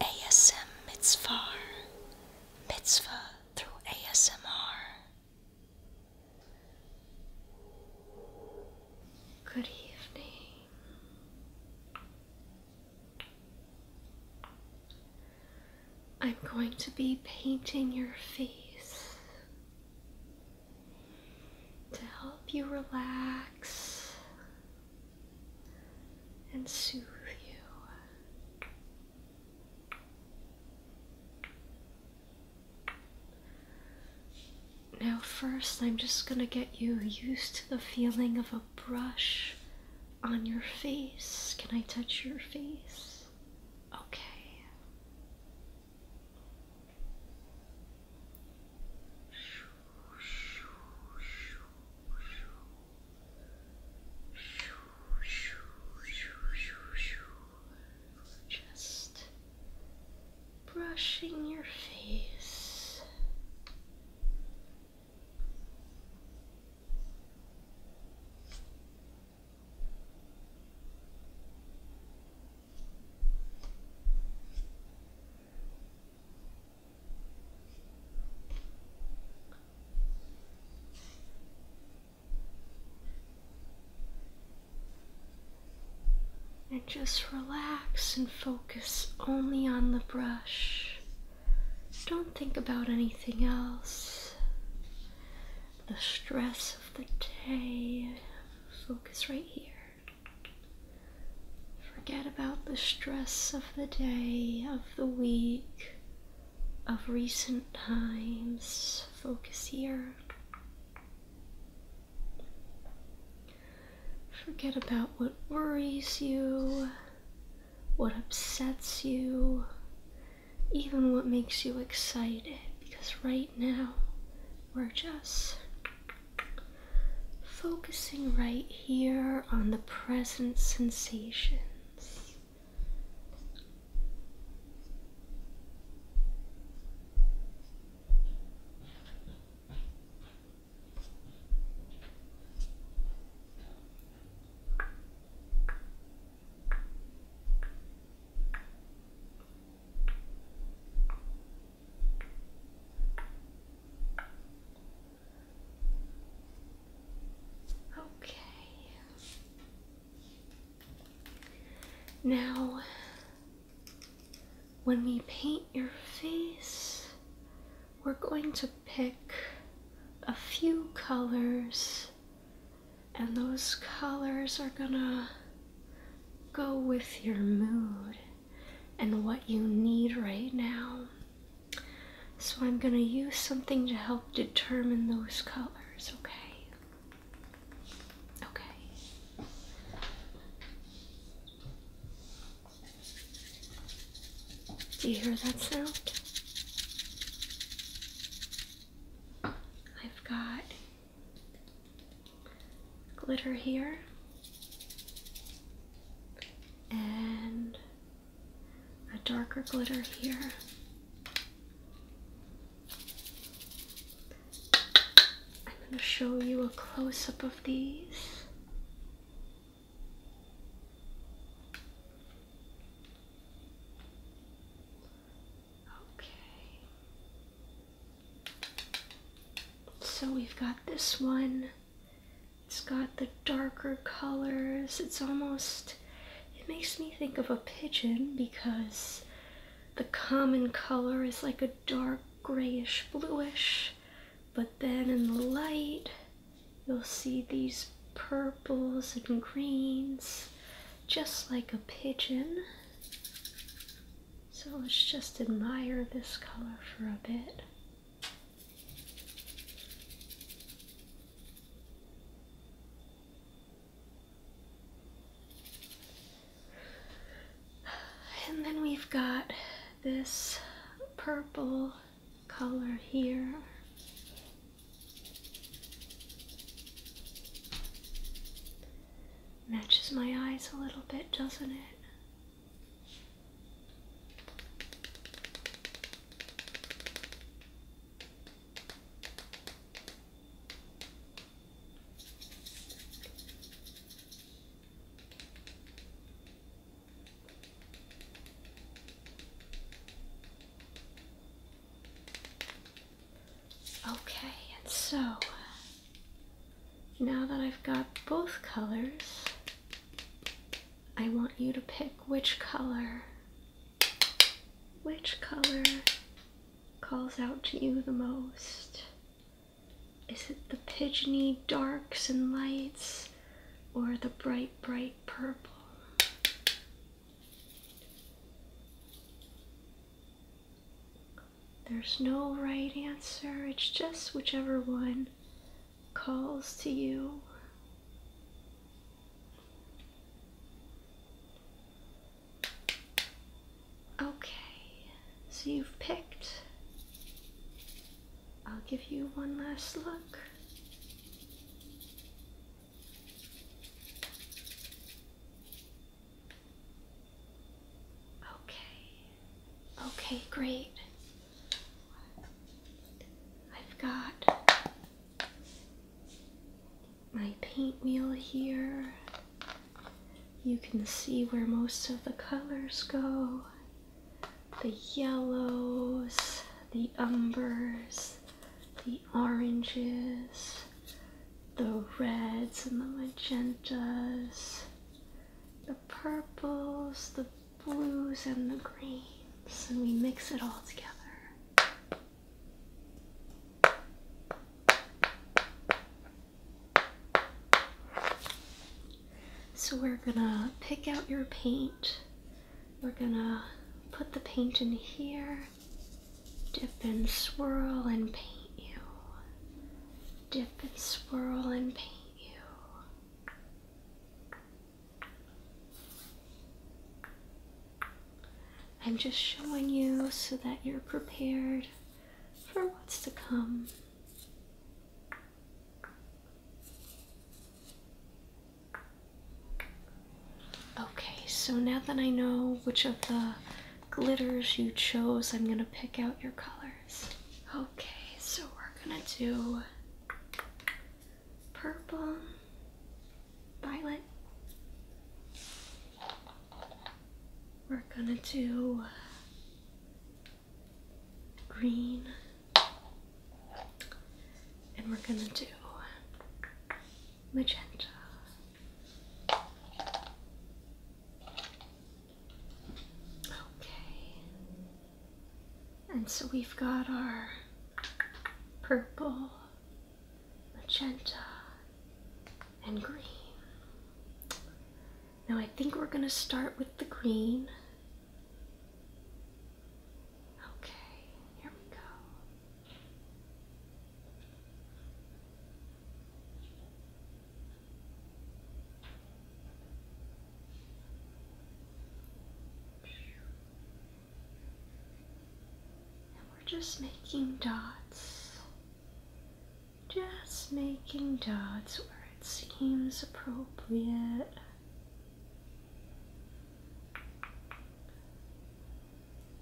ASM Mitzvah, Mitzvah through ASMR. Good evening. I'm going to be painting your face to help you relax and soothe you. Now, first, I'm just going to get you used to the feeling of a brush on your face. Can I touch your face? Okay. Just brushing your face. And just relax and focus only on the brush. Don't think about anything else. The stress of the day. Focus right here. Forget about the stress of the day, of the week, of recent times. Focus here. Forget about what worries you, what upsets you, even what makes you excited, because right now we're just Focusing right here on the present sensations. Okay. Now, when we paint your face, we're going to pick a few colors, and those colors are gonna go with your mood and what you need right now. So, I'm going to use something to help determine those colors, okay? Okay. Do you hear that sound? I've got glitter here and a darker glitter here. I'm going to show you a close up of these. Okay. So we've got this one. It's got the darker colors. It's almost, it makes me think of a pigeon because the common color is like a dark grayish bluish. But then in the light, you'll see these purples and greens, just like a pigeon. So let's just admire this color for a bit. And then we've got this purple color here. Matches my eyes a little bit, doesn't it? Okay, and so now that I've got both colors, I want you to pick which color, which color calls out to you the most. Is it the pigeony darks and lights or the bright, bright purple? There's no right answer, it's just whichever one calls to you. Okay, so you've picked. I'll give you one last look. Okay. Okay, great. I've got my paint wheel here. You can see where most of the colors go. The yellows, the umbers, the oranges, the reds and the magentas, the purples, the blues, and the greens, and we mix it all together. So we're gonna pick out your paint. We're gonna put the paint in here, dip and swirl and paint you dip and swirl and paint you. I'm just showing you so that you're prepared for what's to come. Okay, so now that I know which of the glitters you chose. I'm going to pick out your colors. Okay, so we're going to do purple, violet. We're going to do green. And we're going to do magenta. Okay. And so we've got our purple, magenta, and green. Now I think we're gonna start with the green. Okay, here we go. And we're just making dots, just making dots where it seems appropriate.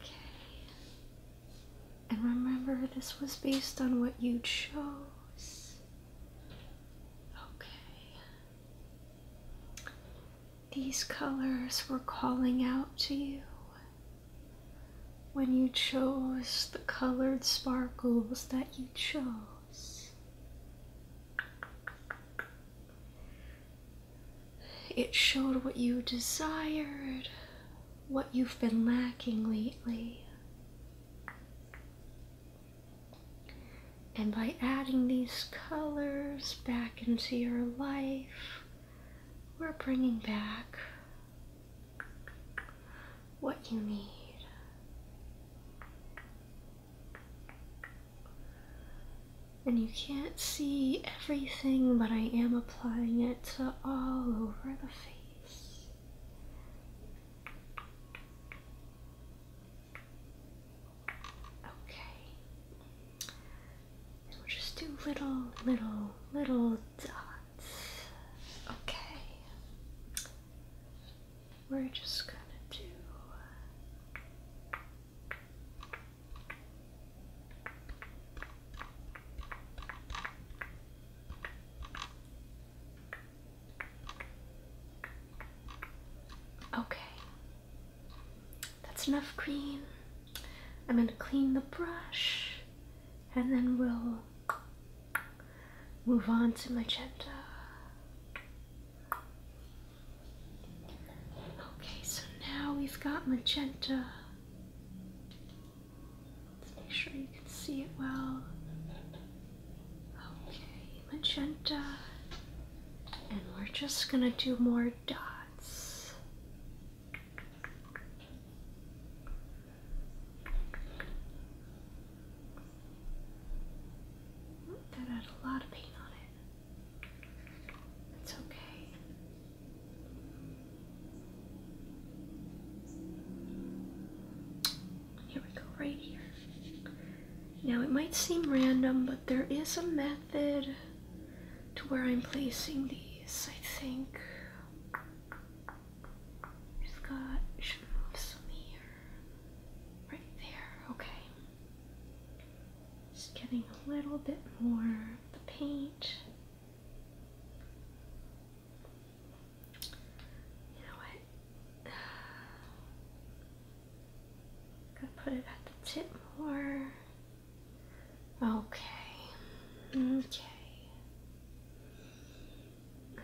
Okay. And remember, this was based on what you chose. Okay. These colors were calling out to you when you chose the colored sparkles that you chose. It showed what you desired, what you've been lacking lately. And by adding these colors back into your life, we're bringing back what you need and you can't see everything, but I am applying it all over the face. Okay. we'll just do little, little, little dots. Okay. We're just gonna do uh, Okay, that's enough green. I'm going to clean the brush and then we'll move on to magenta. Okay, so now we've got magenta. Let's make sure you can see it well. Okay, magenta. And we're just gonna do more dots. That had a lot of paint on it. It's okay. Here we go, right here. Now it might seem random, but there is a method to where I'm placing these, I think. I've got, should move some here. Right there, okay. Just getting a little bit more of the paint. You know what? Gotta put it at the tip more. Okay. Okay.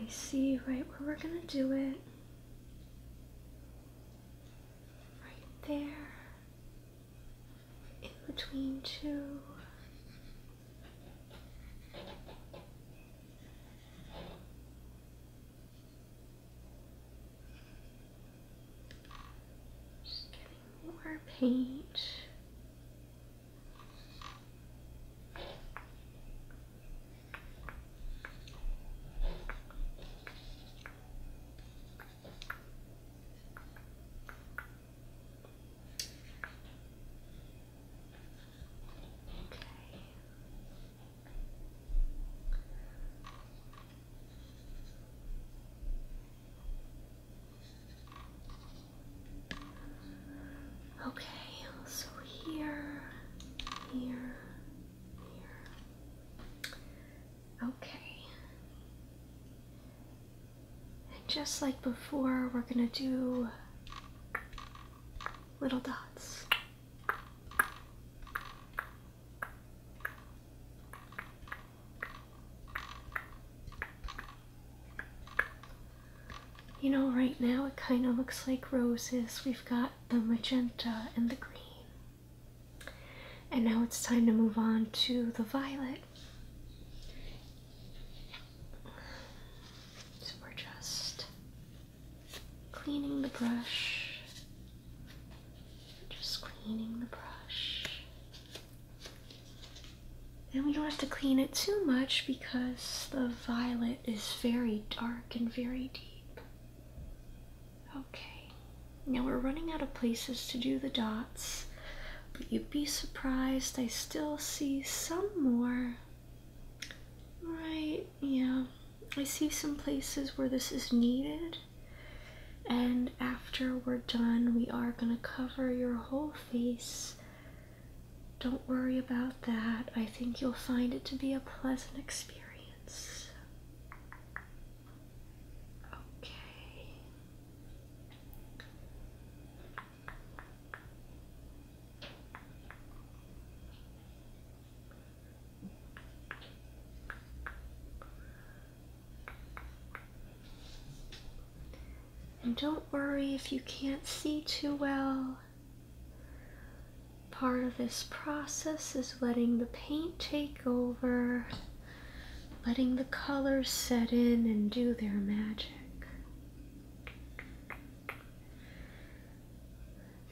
I see right where we're gonna do it. Right there in between two. Just getting more paint. Okay, so here, here, here, Okay. And just like before, we're going to do little dots. You know, right now it kind of looks like roses. We've got the magenta and the green. And now it's time to move on to the violet. So we're just cleaning the brush. Just cleaning the brush. And we don't have to clean it too much because the violet is very dark and very deep. Okay, now we're running out of places to do the dots, but you'd be surprised I still see some more. Right, yeah, I see some places where this is needed, and after we're done, we are going to cover your whole face. Don't worry about that. I think you'll find it to be a pleasant experience. Okay. And don't worry if you can't see too well part of this process is letting the paint take over, letting the colors set in and do their magic.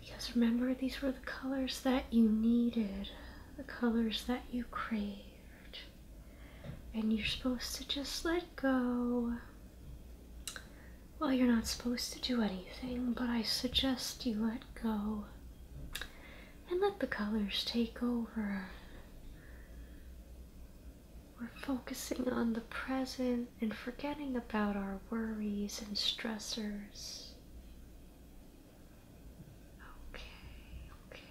Because remember, these were the colors that you needed, the colors that you craved. And you're supposed to just let go. Well, you're not supposed to do anything, but I suggest you let go and let the colors take over. We're focusing on the present and forgetting about our worries and stressors. Okay, okay.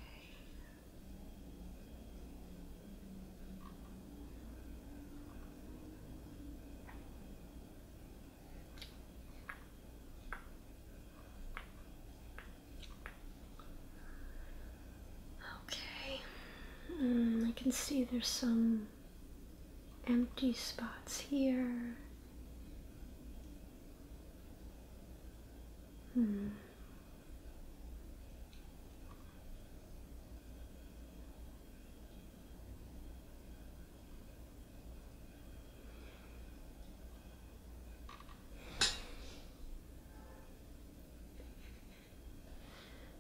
Okay, mm, I can see there's some empty spots here. Hmm.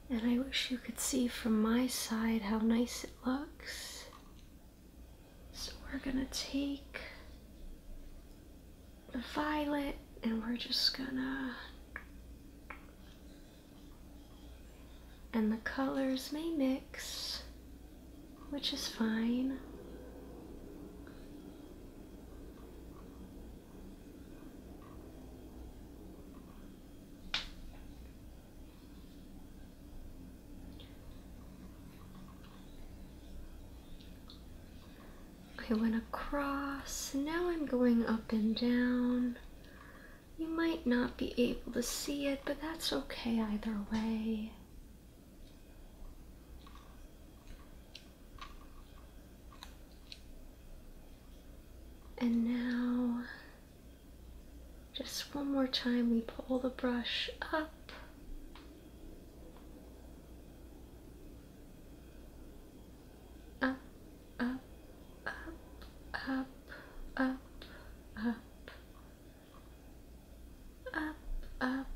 And I wish you could see from my side how nice it looks. So we're gonna take the violet and we're just gonna and the colors may mix, which is fine. I went across, now I'm going up and down you might not be able to see it, but that's okay either way. And now, just one more time, we pull the brush up. Up, up, up, up, up, up, up, up.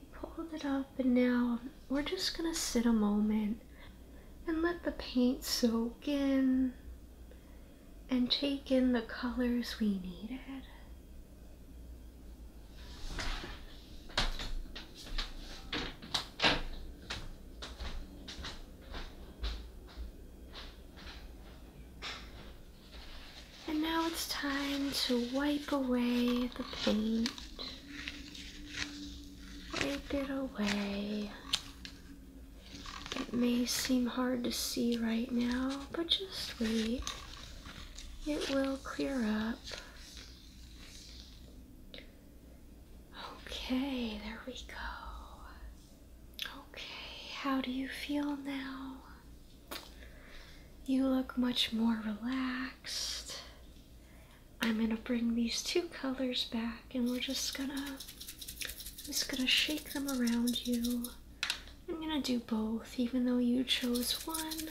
We pulled it up and now we're just gonna sit a moment and let the paint soak in and take in the colors we needed. And now it's time to wipe away the paint. Wipe it away. It may seem hard to see right now, but just wait. It will clear up. Okay, there we go. Okay, how do you feel now? You look much more relaxed. I'm gonna bring these two colors back and we're just gonna just gonna shake them around you. I'm gonna do both even though you chose one.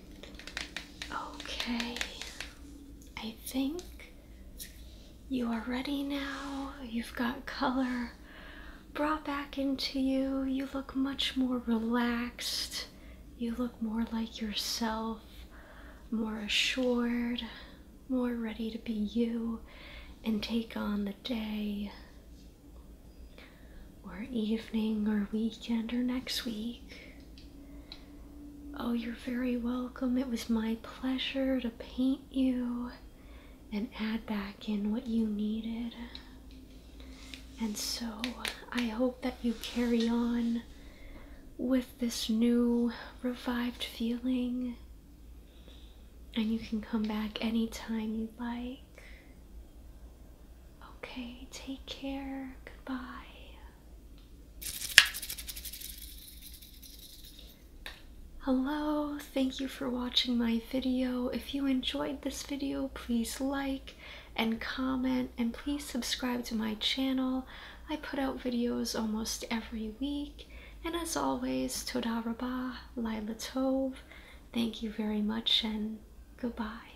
Okay, I think you are ready now. You've got color brought back into you. You look much more relaxed. You look more like yourself, more assured, more ready to be you and take on the day or evening or weekend or next week. Oh, you're very welcome. It was my pleasure to paint you and add back in what you needed. And so I hope that you carry on with this new revived feeling. And you can come back anytime you'd like. Okay, take care. Goodbye. Hello, thank you for watching my video. If you enjoyed this video, please like and comment and please subscribe to my channel. I put out videos almost every week. And as always, Toda Rabah, Thank you very much and goodbye.